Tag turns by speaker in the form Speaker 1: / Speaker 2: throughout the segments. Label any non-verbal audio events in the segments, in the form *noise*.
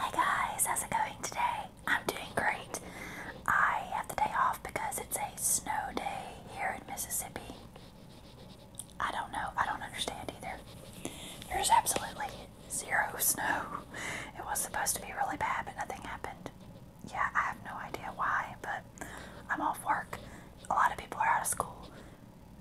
Speaker 1: Hey guys, how's it going today? I'm doing great. I have the day off because it's a snow day here in Mississippi. I don't know, I don't understand either. There's absolutely zero snow. It was supposed to be really bad, but nothing happened yeah, I have no idea why, but I'm off work. A lot of people are out of school.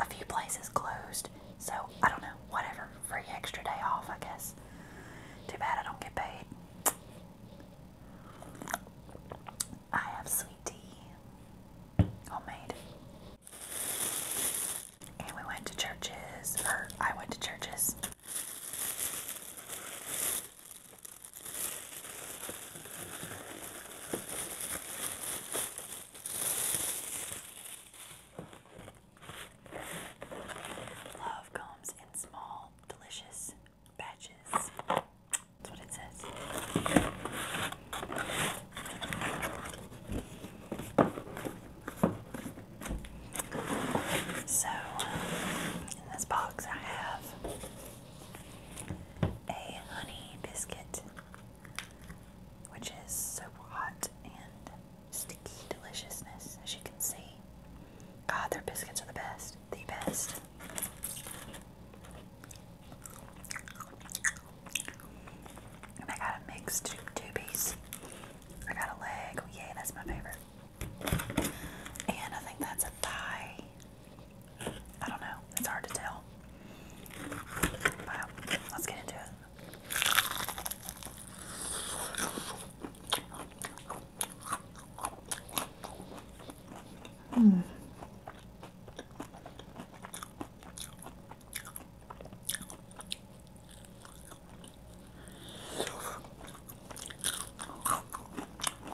Speaker 1: A few places closed. So, I don't know, whatever. Free extra day off, I guess. Too bad I don't get paid. I have sweet tea. Homemade. And we went to churches, or I went to churches. Love comes in small, delicious batches. That's what it says. So, in this box, I have a honey biscuit, which is so hot and sticky deliciousness, as you can see. God, their biscuits are the best. The best. And I got a mixed two, two piece. I got a leg. Oh, yay, that's my favorite. And I think that's a thigh. I don't know. It's hard to tell. But let's get into it. Hmm.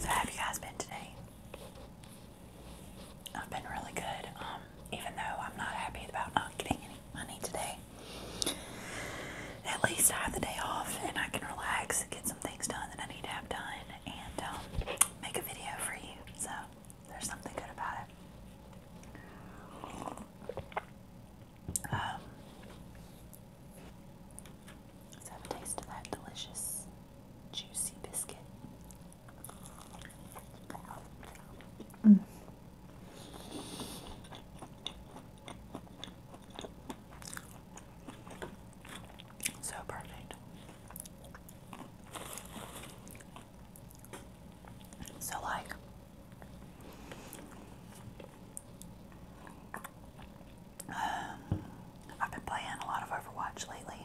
Speaker 1: So, have you guys been today? I've been really good, um, even though I'm not happy about not getting any money today. At least I have the day off and I can relax and get some things done that I need to have done and um, make a video for you. So there's something good about it. Um, let's have a taste of that delicious, juicy biscuit. Mm. So perfect. So, like, um, I've been playing a lot of Overwatch lately.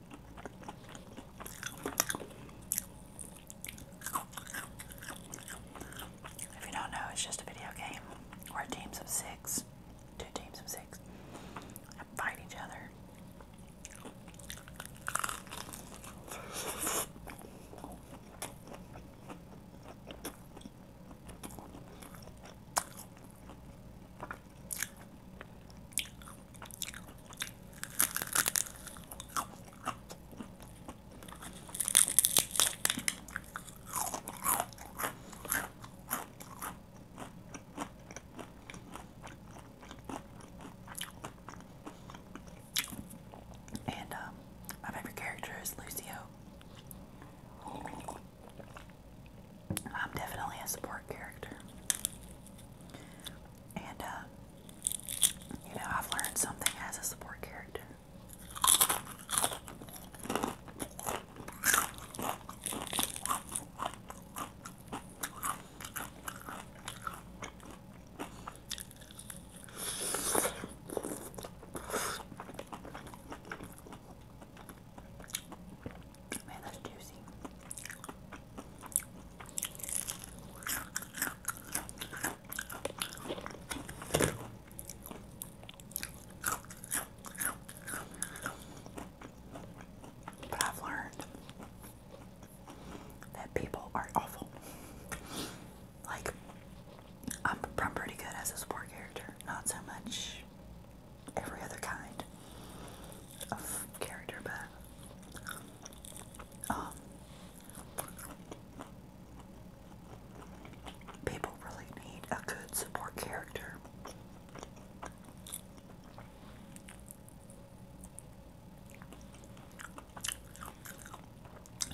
Speaker 1: If you don't know, it's just a video game where teams of six, two teams of six, fight each other. And um, my favorite character is Lucio. I'm definitely a support character. And, uh, you know, I've learned something as a support character. Man, that's juicy. But I've learned that people are awful. Like, I'm, pretty good as a support character, not so much every other kind of character, but um, people really need a good support character.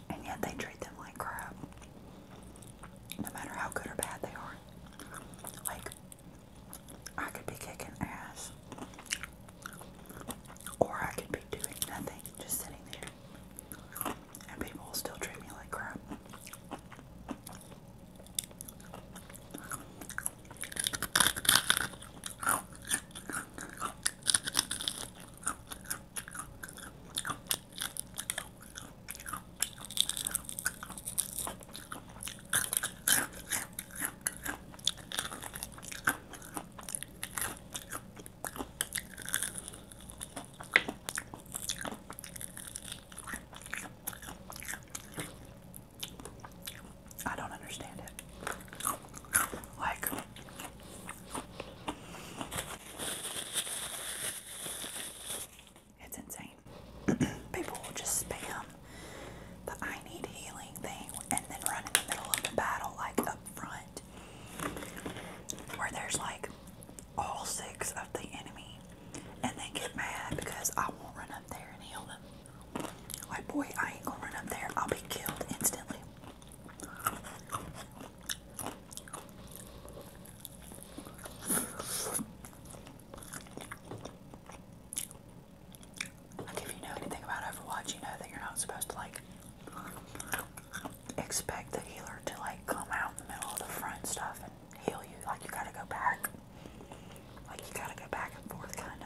Speaker 1: And yet they treat them like crap. No matter how good or bad they are. Like, I could be kicking ass, or I could be doing nothing, just sitting there, and people will still treat me like crap. I don't understand it. Like, it's insane. *clears throat* People will just spam the I need healing thing and then run in the middle of the battle, like up front, where there's like all six of the enemy, and they get mad because I won't run up there and heal them. Like, boy, I ain't gonna run up there, I'll be killed instantly. Like if you know anything about Overwatch, you know that you're not supposed to like expect the healer to like come out in the middle of the front stuff and heal you. Like you gotta go back. Like you gotta go back and forth kinda.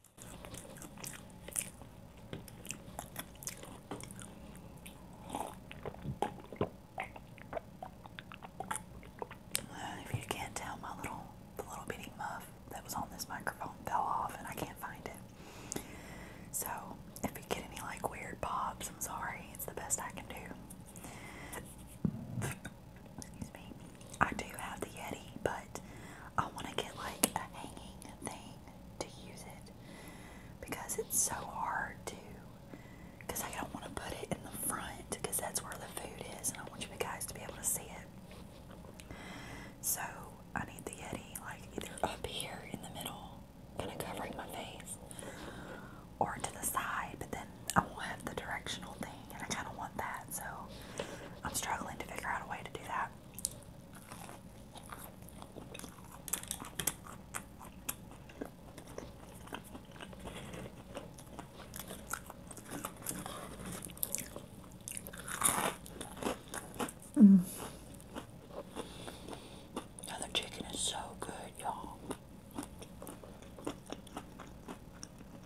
Speaker 1: Uh, if you can't tell, my little the little bitty muff that was on this microphone fell off, and I can't find it. So if you get any like weird pops, I'm sorry. It's the best I can do. Excuse me. I do have the Yeti, but I want to get like a hanging thing to use it because it's so hard to. Because I don't want to put it in the front because that's where the food is, and I want you guys to be able to see it. So I need the Yeti like either up here in the middle, kind of covering my face, or to the side, but then I won't have the directional thing and I kind of want that, so I'm struggling to figure out a way to do that. Mm. Now the chicken is so good, y'all.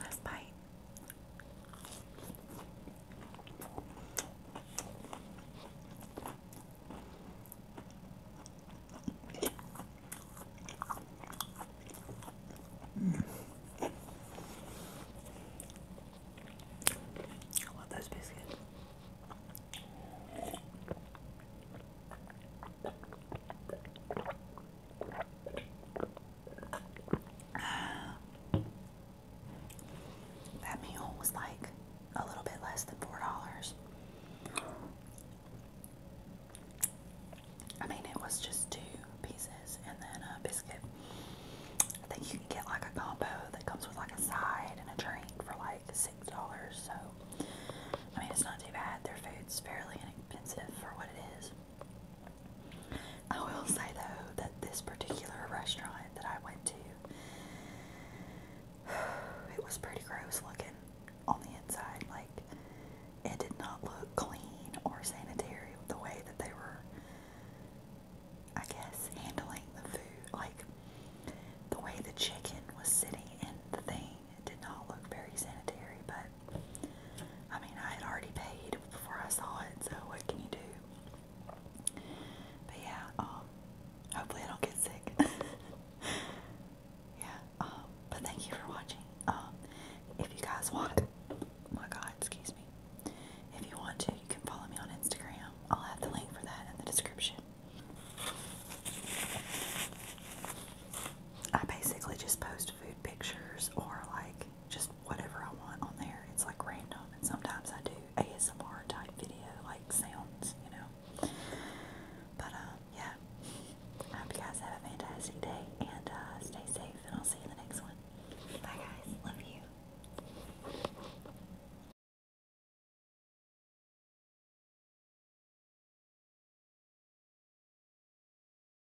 Speaker 1: Last bite. Mm. I love those tá biscuits. *sighs* That meal was like a little bit less than four dollars. I mean, it was just two pieces and then a biscuit. I think you can get like a combo that comes with like a side and a drink for like six dollars. So, I mean, it's not too bad. Their food's fairly inexpensive for what it is. I will say though that this particular restaurant that I went to, *sighs* it was pretty gross looking on the inside. Like, it did not look clean or sanitary the way that they were, I guess, handling the food. Like, the way the chicken was sitting in the thing did not look very sanitary, but I mean, I had already paid before I saw it, so what can you do? But yeah, um, hopefully I don't get sick. *laughs* yeah, um, but thank you for watching. Um, if you guys want, oh my God, excuse me. If you want to, you can follow me on Instagram. I'll have the link for that in the description. I basically just post food pictures or like just whatever I want on there. It's like random, and sometimes I do ASMR type video, like sounds, you know. But um, yeah, hope you guys have a fantastic day and uh, stay safe, and I'll see you in the next one. Bye, guys. Love you.